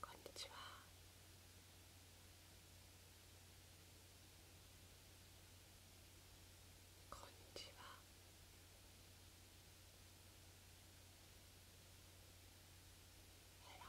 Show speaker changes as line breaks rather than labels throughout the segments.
こんにちはこんにちはヘロヘロ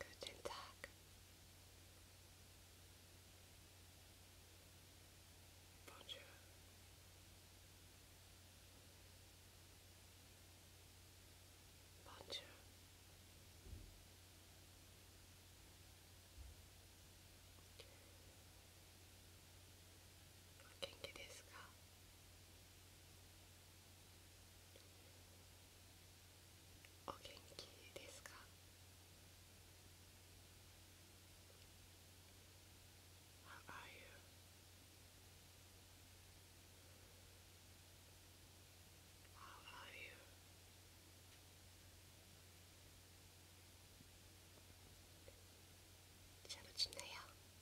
Guten Tag. Bonjour. Bonjour. お元気ですか「How are you?」「How are you?」잘 지내요?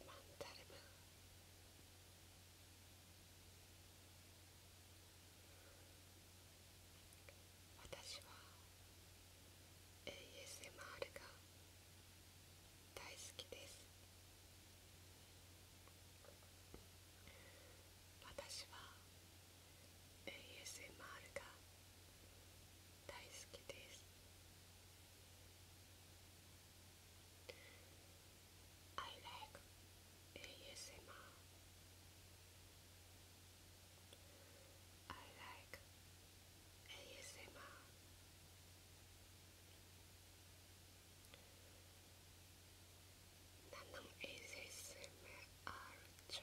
وما نحترمها 私は ASMR が大好きです私は ASMR が大好きです「I like ASMR」「I like ASMR」Nanong ASMR job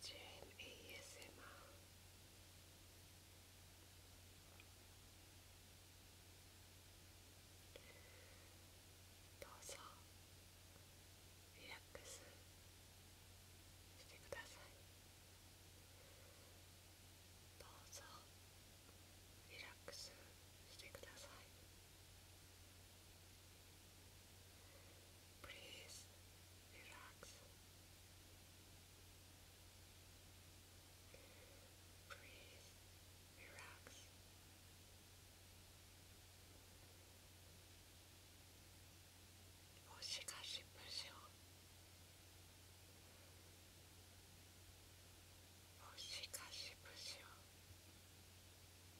Jane ASMR. Do so, relax, してください。どうぞリラックスしてください。Please relax. Please relax. Oshikashi Busho.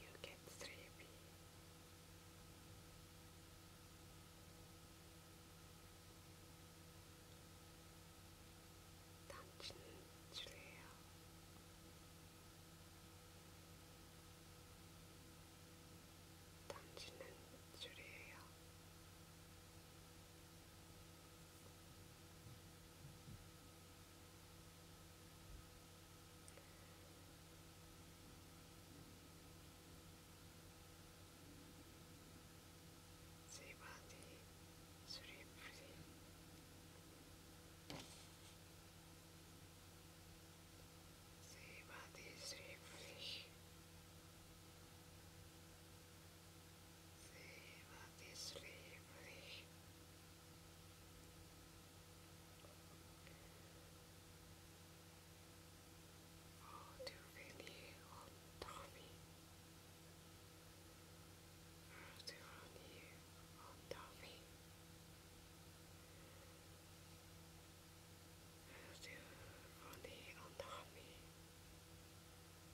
You get sleepy. 당신은 주래요. 당신은 주래요. 당신은 They body sleep free. They body sleep free. I'll do Fanny or Tommy. I'll do Ronnie or Tommy. I'll do Ronnie or Tommy. do Ronnie